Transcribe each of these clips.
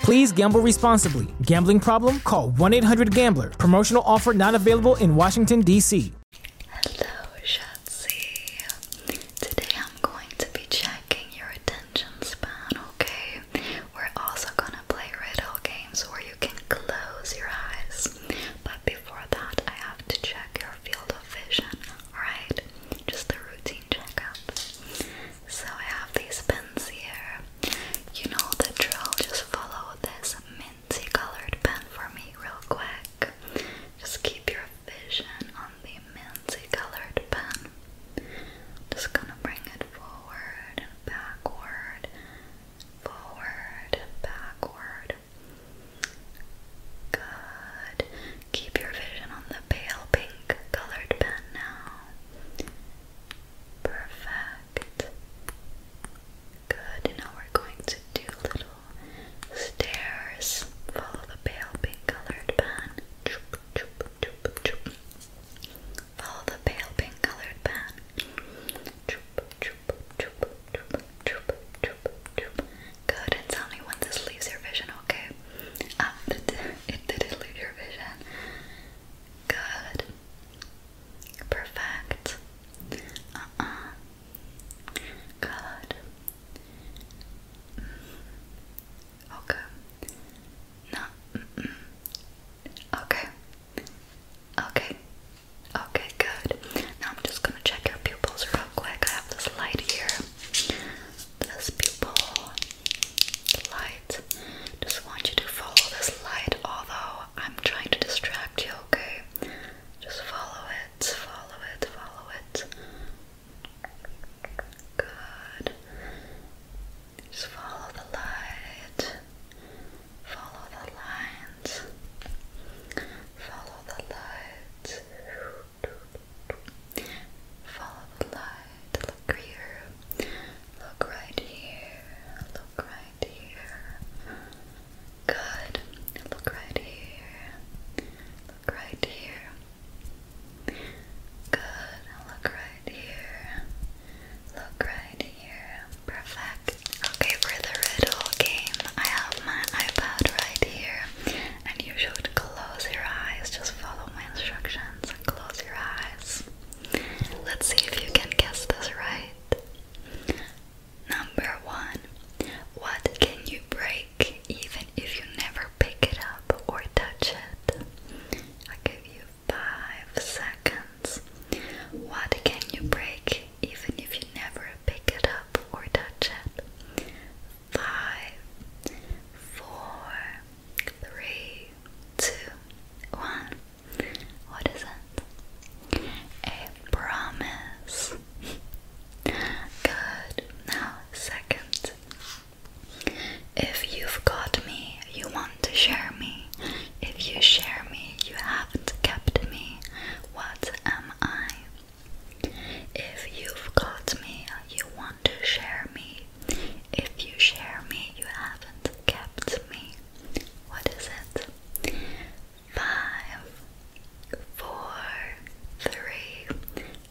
Please gamble responsibly. Gambling problem? Call 1 800 Gambler. Promotional offer not available in Washington, D.C. Hello, Shatsi. Today I'm going to be checking your attention span, okay? We're also gonna play riddle games where you can close your eyes. But before that, I have to check your field of vision, alright? Just a routine checkup. So I have these pens here. You know the drill, just follow this minty colored pen for me real quick. Just keep your vision on the minty colored pen. Just gonna bring it forward and backward, forward and backward. Good. Keep your vision on the pale pink colored pen now. Perfect. Good, now we're going to do little stairs. Follow the pale pink colored pen. Follow the pale pink colored pen. Good, and tell me when this leaves your vision, okay? Um, it didn't your vision. Good. Perfect. Uh-uh. Good. Mm-hmm. Okay. No. Okay. Okay. Okay, good. Now I'm just gonna check your pupils real quick. I have this light here this pupil, light. Just want you to follow this light, although I'm trying to distract you, okay? Just follow it, follow it, follow it. Good. Just follow the light. Follow the lines. Follow the light. Follow the light. Look here. Look right here. Look right here. Good. Look right here. Look right here. Good. Look right here. Look right here. Perfect. Okay, for the riddle game, I have my iPad right here and you should close your eyes. Just follow my instructions and close your eyes. Let's see if you can guess this right. Number one, what can you break even if you never pick it up or touch it? i give you five seconds. What can you break even if you never pick it up or touch it? five, four, three, two, one. What is it? A promise. Good. Now, second. If you've got me, you want to share me. If you share me, you haven't kept me. What am I? If you've got me, you want to share me. If you share me, you haven't kept me. What is it? Five, four, three,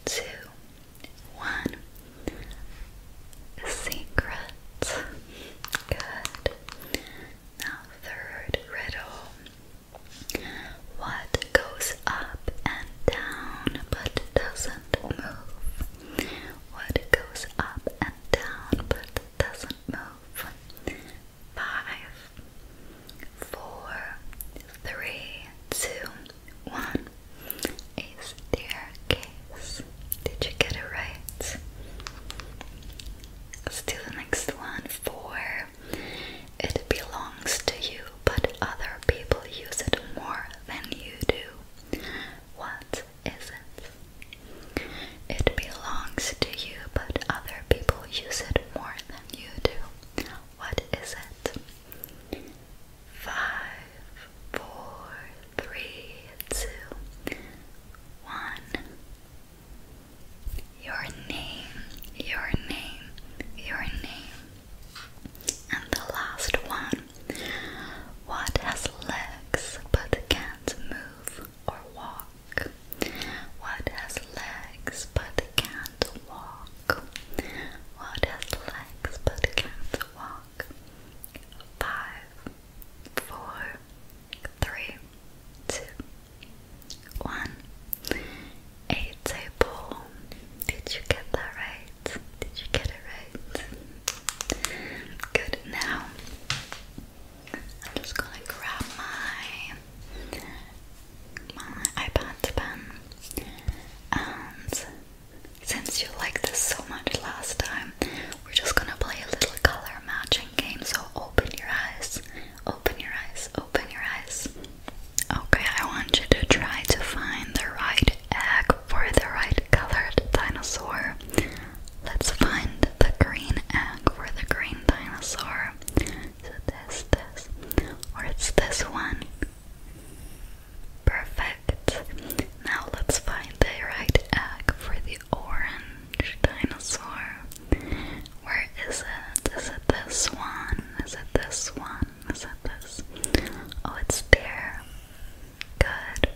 two, one. Secret. Good. Now, third riddle. What goes up and down but doesn't move? What goes up and down but doesn't move? Five, four, three, two, one. A staircase. Did you get it right? let the next one. Four. It belongs to you, but other people use it more than you do. What is it? It belongs to you, but other people use it more than you do. What is it? Five, four, three, two, one. Your name, your name, your name. And the last one What has legs but can't move or walk? What has legs but can't walk? What has legs but can't walk? Five, four, three, two, one. A table. Did you get that right? Did you get it right? Good. Now, I'm just gonna grab my my iPad pen, and since you liked this so much last time, we're just gonna play a little color matching game. So open your eyes, open your eyes, open your eyes. Okay, I want you to try to find the right back for the right colored dinosaur. Let's find the green egg for the green dinosaur. So this, this, or it's this one. Perfect. Now let's find the right egg for the orange dinosaur. Where is it? Is it this one? Is it this one? Is it this? Oh, it's there. Good.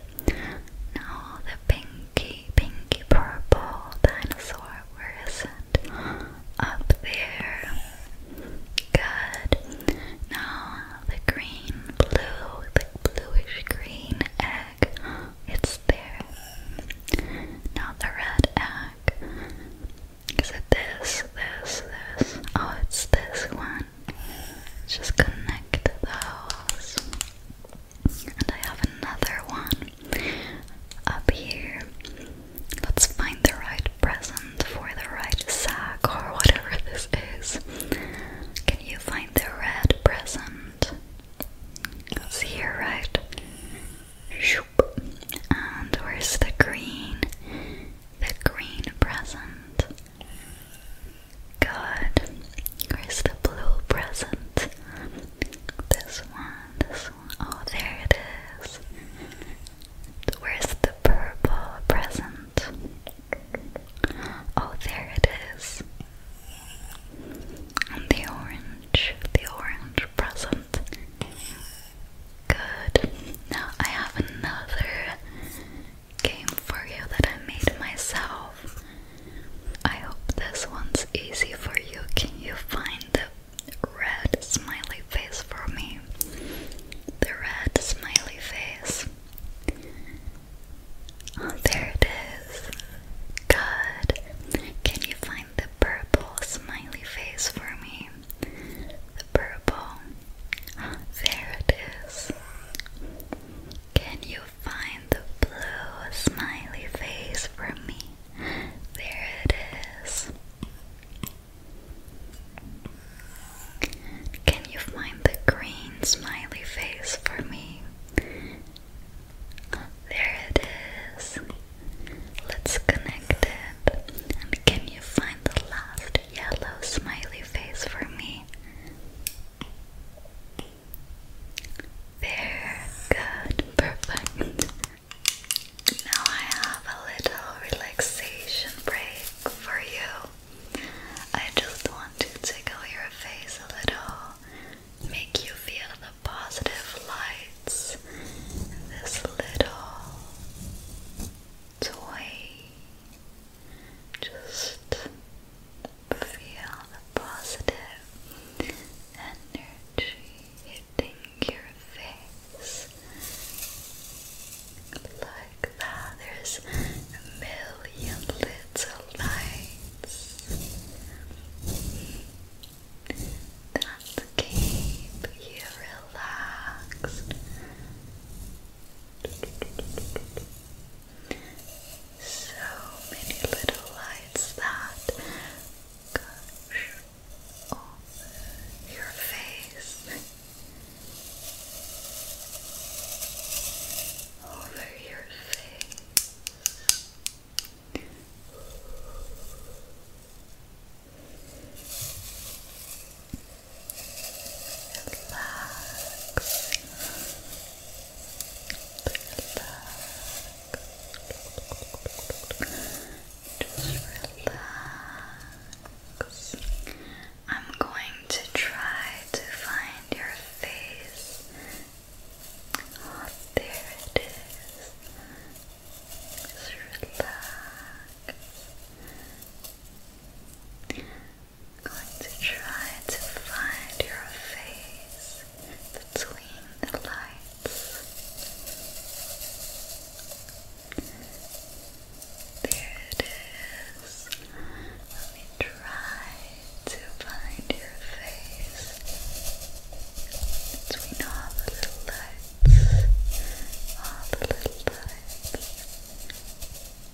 Now the pinky, pinky purple dinosaur, where is it? Up there. Good. Now the green, blue, the bluish green egg, it's there. Now the red egg. Is it this, this, this? Oh, it's this one. Just connect those. And I have another one up here. Let's find the right present for the right sack or whatever this is. Can you find the red present? It's here, right? And where's the green? The green present. Good. Where's the blue present? This one, this one. Oh, there it is. Where's the purple present? Oh, there it is. And the orange, the orange present. Good. Now I have another game for you that I made myself. I hope this one's easy for you. Can you find the red smiley face for me? The red smiley face. Oh, there it is. Good. Can you find the purple smiley face for me? purple. There it is. Can you find the blue smiley face for me? There it is. Can you find the green smiley face for me? There it is. Let's connect it. And can you find the last yellow smiley face for me. There, good, perfect. Now I have a little relaxation break for you. I just want to tickle your face a little, make you feel the positive lights this little toy just feel the positive energy hitting your face. Like there's a million little lights that keep you relaxed so many little lights that gush over your face, over your face relax. I'm going to try to find your face. Oh, there it is. relax going to try to find your face between the lights. There it is. Let me try to find your face between all the little lights. All the little lights.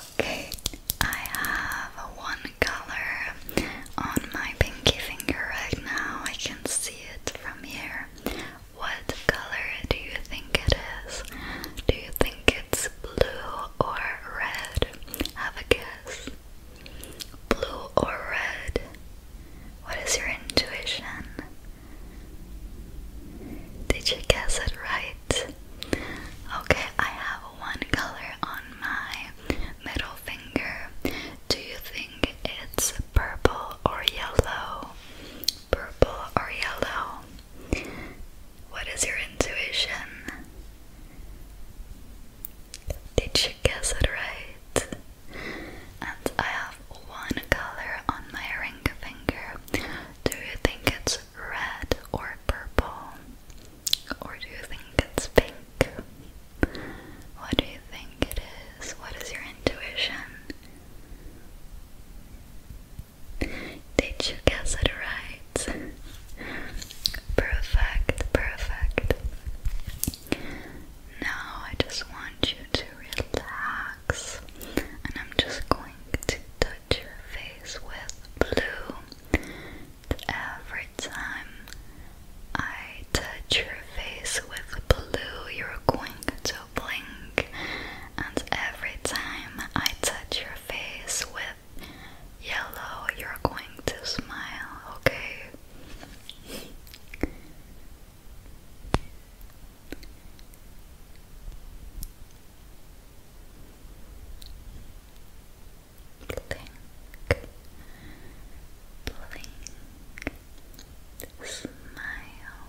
Okay, I have one color on my pinky finger right now. I can see it from here. What color do you think it is? Do you think it's blue or red? Have a guess. Blue or red? What is your intuition? Did you guess it right? Okay, I have one color on my middle finger. Do you think it's purple or yellow? Purple or yellow? What is your intuition? Did you guess it right? And I have one color on my ring finger. Do you think it's red or purple? Or do you think it's pink? What do you think it is? What is your intuition? Did you guess it right? Perfect, perfect. Now I just want you to relax, and I'm just going to touch your face with blue. Every time I touch your face with blue, you're going to blink, and every time I touch your face with yellow, you're going to smile, okay? Blink, blink, smile,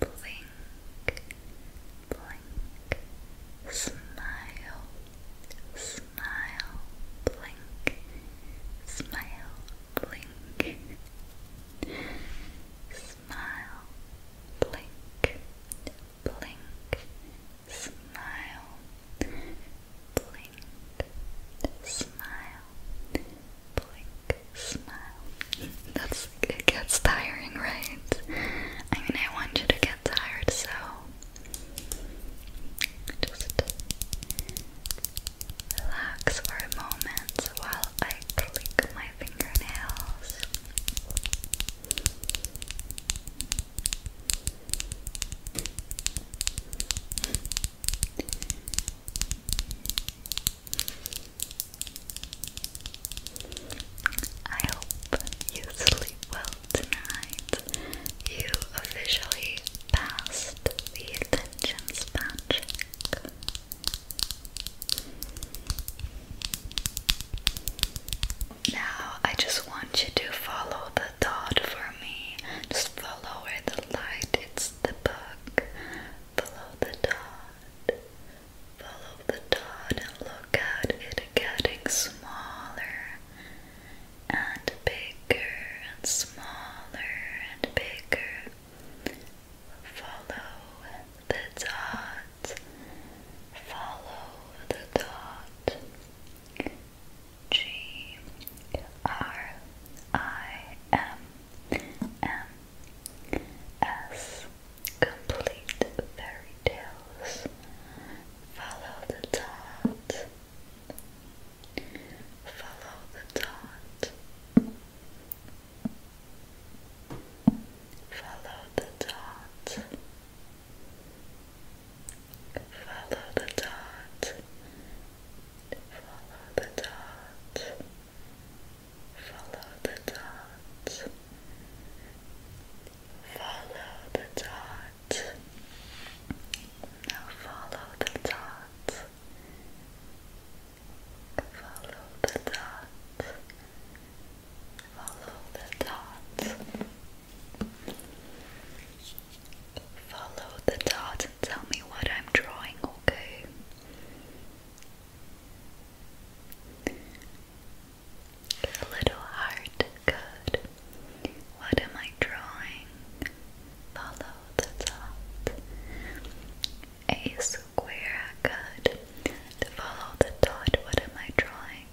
blink, blink, smile, Smile, blink, smile, blink. Smile, blink, blink. Smile, blink, smile, blink, smile. That's it gets tiring, right? I mean, I want you to get tired, so just relax for a moment while I click my fingernails. I hope you sleep well tonight you officially passed the attention span check. Now, I just want you to follow the dot for me. Just follow where the light, it's the book. Follow the dot. Follow the dot and look at it getting smaller and bigger and smaller and bigger. Follow the dot, follow the dot. G R I M M S Complete Fairy Tales. Follow the dot. Follow the dot. Follow the dot. Follow the dot. Follow the dot. Follow the dot. Follow the dot. Now follow the dots. Follow the dots. Follow the dots. Follow the dot and tell me what I'm drawing, okay? A little heart, good. What am I drawing? Follow the dot. A square, good. To follow the dot, what am I drawing?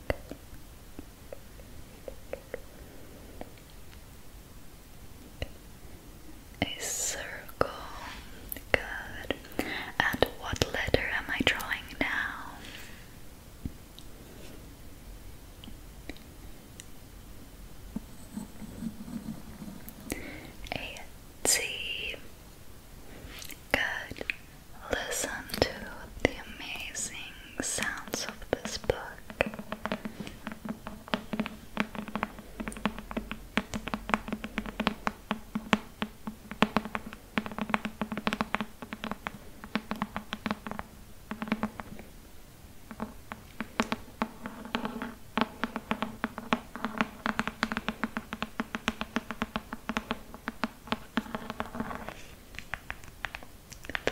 A circle, good. And what letter am I drawing now? A T. Good. Listen to the amazing sounds of this book.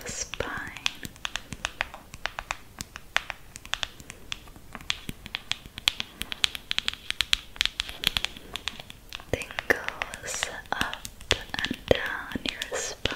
The spine. Tingles up and down your spine.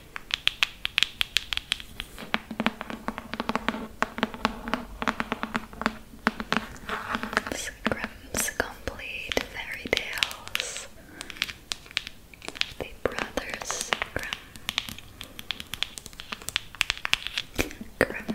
Grimm's Complete Fairy Tales. The Brothers Grimm. Grimm, Grimm.